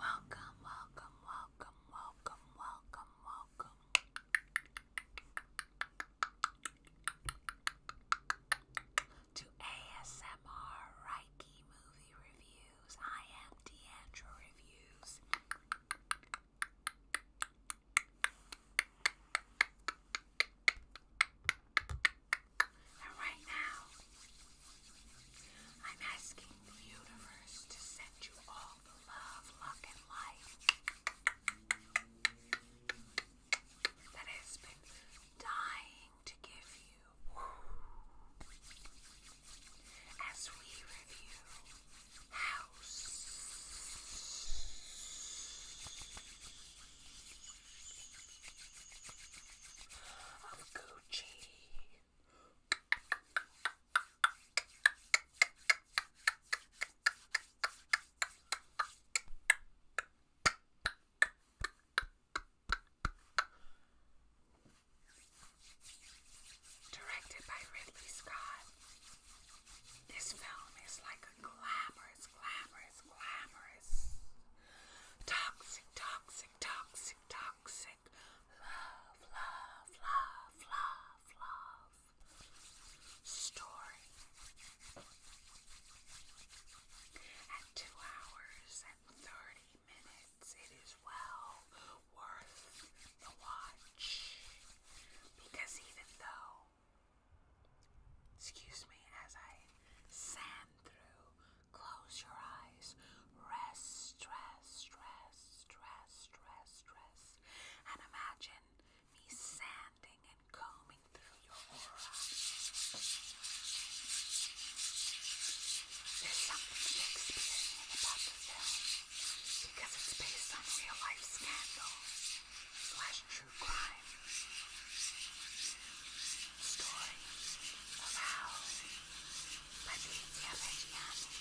Welcome, welcome, welcome, welcome, welcome, welcome. To ASMR Reiki Movie Reviews. I am Deandra Reviews. And right now, I'm asking the universe to send you all the love, luck, and life that has been dying to give you. As we review House. Gucci. Directed by Ridley Scott, this film is like a glamorous, glamorous, glamorous, toxic, toxic, toxic toxic, love, love, love, love, love story. At two hours and 30 minutes, it is well worth the watch because even though, excuse me, as I sand through Close your eyes. Rest, rest, rest, rest, rest, rest. And imagine me sanding and combing through your aura. There's something Shakespearean about the film because it's based on real life scandal slash true crime story of how Patrizia Reggiani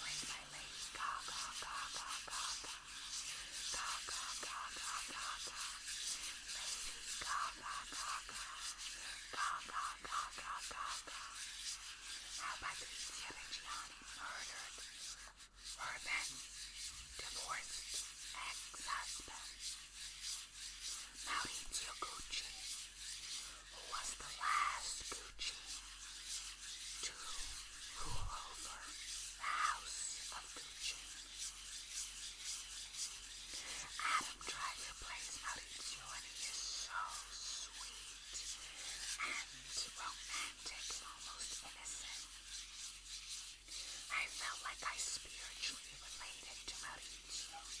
was my lady Gaga, Gaga, Gaga, Gaga, Gaga, Gaga, Lady Gaga, Gaga, Gaga, Gaga, Gaga, how Patrizia Reggiani murdered her then divorced ex-husband. Maurizio Gucci, was the last Gucci to rule over the house of Gucci. Adam tried to place Maurizio and he is so sweet and romantic almost innocent. I felt like I spiritually related to Maurizio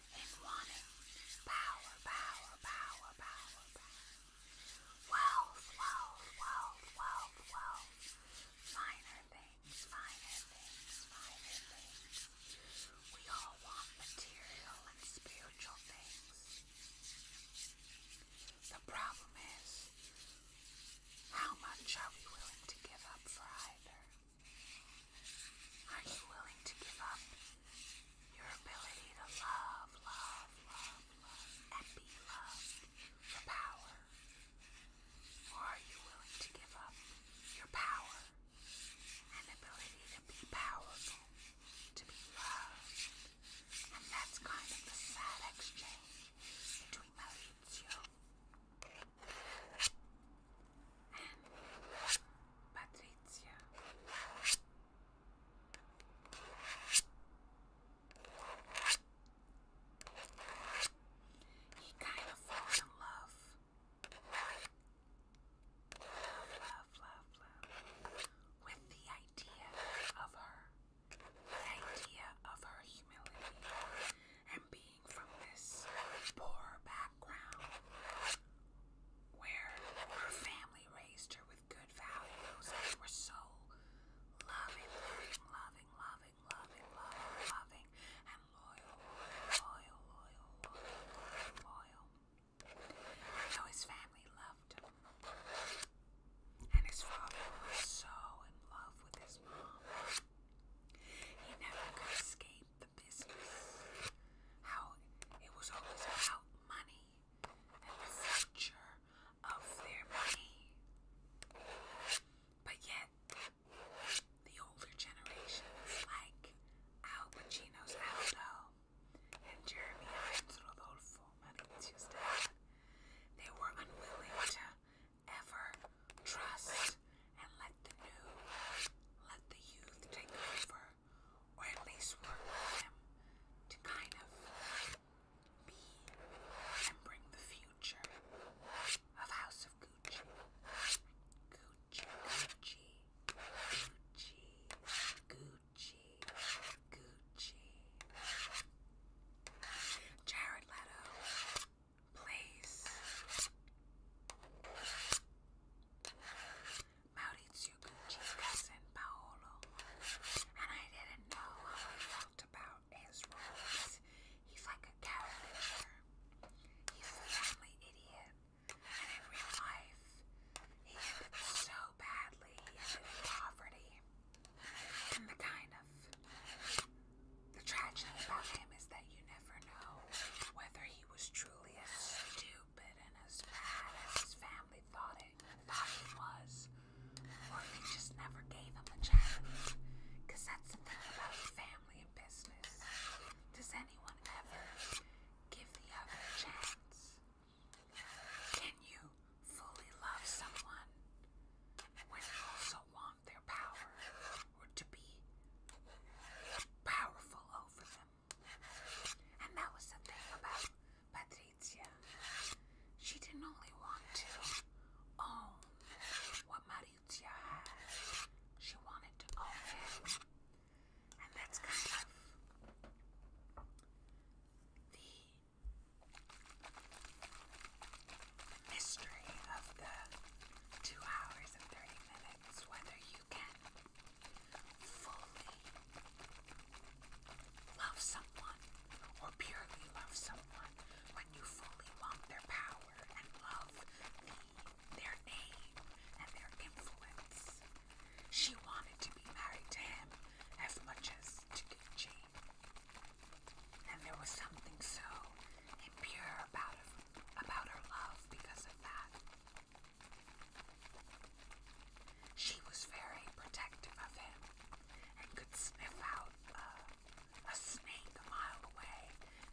in wanting power, power, power, power, power. Wealth, wealth, wealth, wealth, wealth. Finer things, finer things, finer things. We all want material and spiritual things. The problem is, how much are we willing to give up for either? Are you willing to give up your ability to love, love, love, love, and be loved, your power? Or are you willing to give up your power and ability to be powerful, to be loved? And that's kind of the sad exchange between those and Patricia. He kind of falls in love. Love, love, love, love. With the idea of her. The idea of her humility. And being from this poor background where her family raised her with good values they were so loving, loving, loving, loving, loving, loving, and loyal, loyal, loyal, loyal, though his family loved him, and his father was so in love with his mom, he never could escape the business. How it was always about money and the future of their money. But yet, the older generations like Al Pacino's Aldo and Jeremy Irons Rodolfo Mauricio's they were unwilling to ever trust and let the new, let the youth take over or at least work with him to kind of be remembering the future of House of Gucci. Gucci, Gucci, Gucci, Gucci, Gucci. Jared Leto plays Maurizio Gucci's cousin Paolo, and I didn't know how I felt about his role because he's like a caricature. He's a family idiot, and in real life, he ended so badly in poverty. And the kind of the tragedy about him is that you never know whether he was truly a stupid and as bad as his family thought it thought he was. Or they just never gave him a chance. that's the thing about family and business. Does anyone ever give the other a chance? Can you fully love someone when you also want their power or to be powerful over them? And that was the about Patrizia. She didn't only want to own what Maurizio had, she wanted to own him. And that's kind of the mystery of the two hours and 30 minutes, whether you can fully love someone or purely love someone when you fully want their power and love their name and their influence. She wanted to be married to him as much as to Gucci. And there was something so impure about, about her love because of that. She was very protective of him and could sniff out uh, a snake a mile away,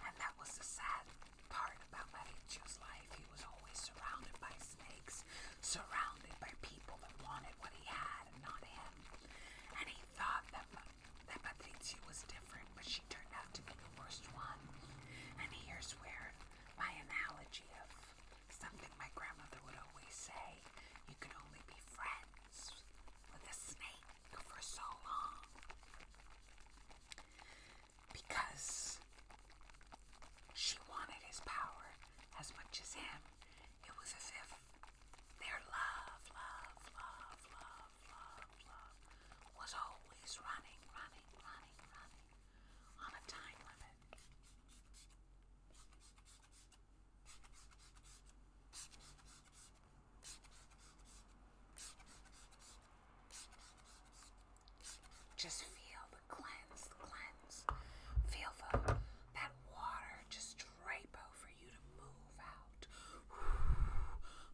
and that was the sad part about Mariccio's life. He was always surrounded by snakes, surrounded by people that wanted what he had and not him. And he thought that, that Patrizia was different, but she turned out to be the worst one. And here's where my analogy of something my grandmother would always say you can only be friends with a snake for so long. Because she wanted his power as much as him. It was as if their love, love, love, love, love, love was always running, running. Just feel the cleanse, the cleanse. Feel the, that water just drape over you to move out.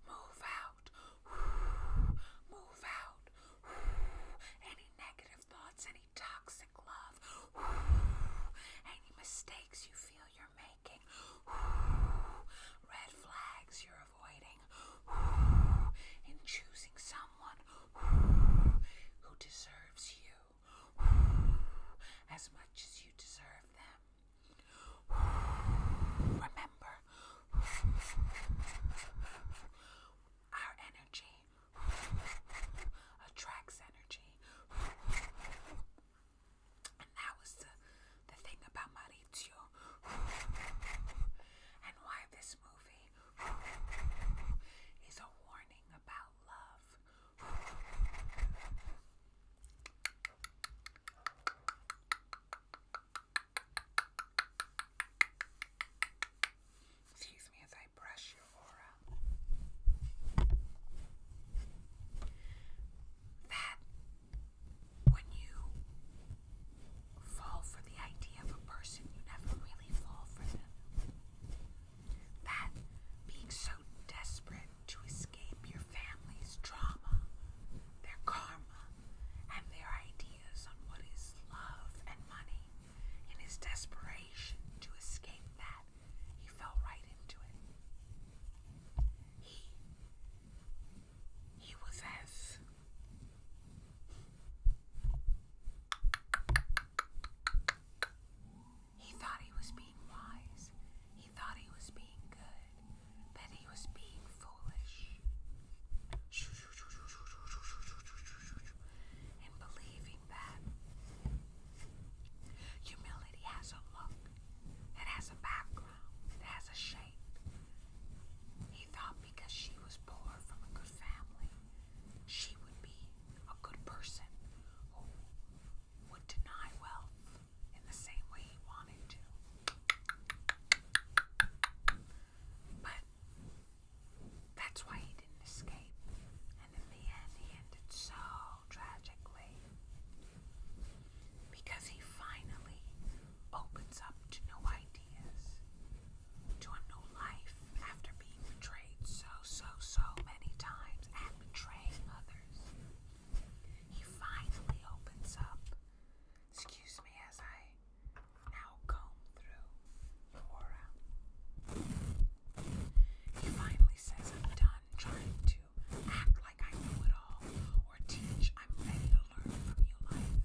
Move out. Move out. Any negative thoughts, any toxic love, any mistakes you feel you're making, red flags you're avoiding, in choosing someone who deserves you as much as you deserve them. Remember, our energy attracts energy. And that was the, the thing about Maurizio and why this movie is a warning about love. Excuse me as I brush your aura. That when you fall for the idea of a person, you never really fall for them. That being so desperate to escape your family's trauma, their karma, and their ideas on what is love and money. In his desperation to escape that, he fell right into it. He he was as he thought he was being wise. He thought he was being good that he was being foolish and believing that humility has a look, it has a background, it has a shape. He thought because she was poor from a good family, she would be a good person who would deny wealth in the same way he wanted to. But that's why he didn't escape. And the end, he ended so tragically because he finally opens up to new ideas, to a new life after being betrayed so, so, so many times and betraying others. He finally opens up Excuse me as I now comb through your aura. finally says, I'm done trying to act like I know it all or teach. I'm ready to learn from you, life.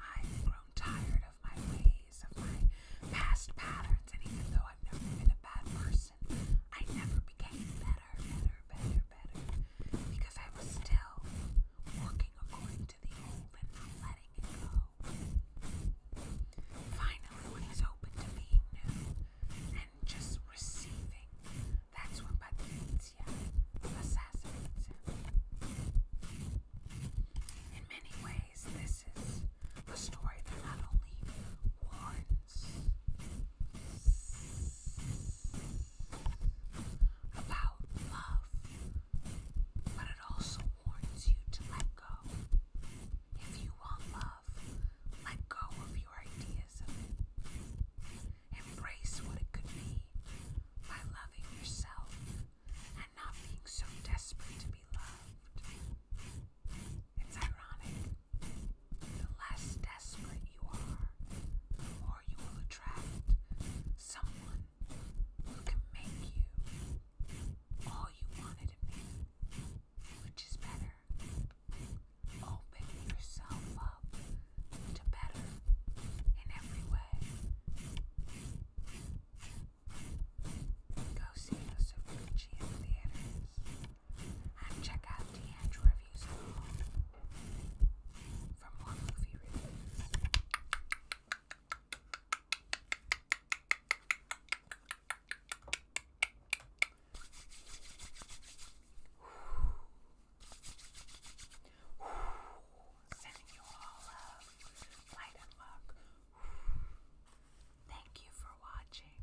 I've grown tired of my ways, of my past patterns, and even though I've never been a bad person, I never became better, better, better, better because I was still working according to the old and letting it go. Finally, when he's open to being new and just receiving, that's when Patricia assassinates him. In many ways, this is a story that not only warns about love, but it also warns you to let go. If you want love, let go of your ideas of it. Embrace what it could be by loving yourself and not being so desperate to be loved. It's ironic. The less desperate you are, the more or you will attract someone who can make you all you wanted to be, which is better. Open yourself up to better in every way. Go see us at Fujian Theaters and check out Deanne's reviews. Sending you all love, light and luck. Thank you for watching.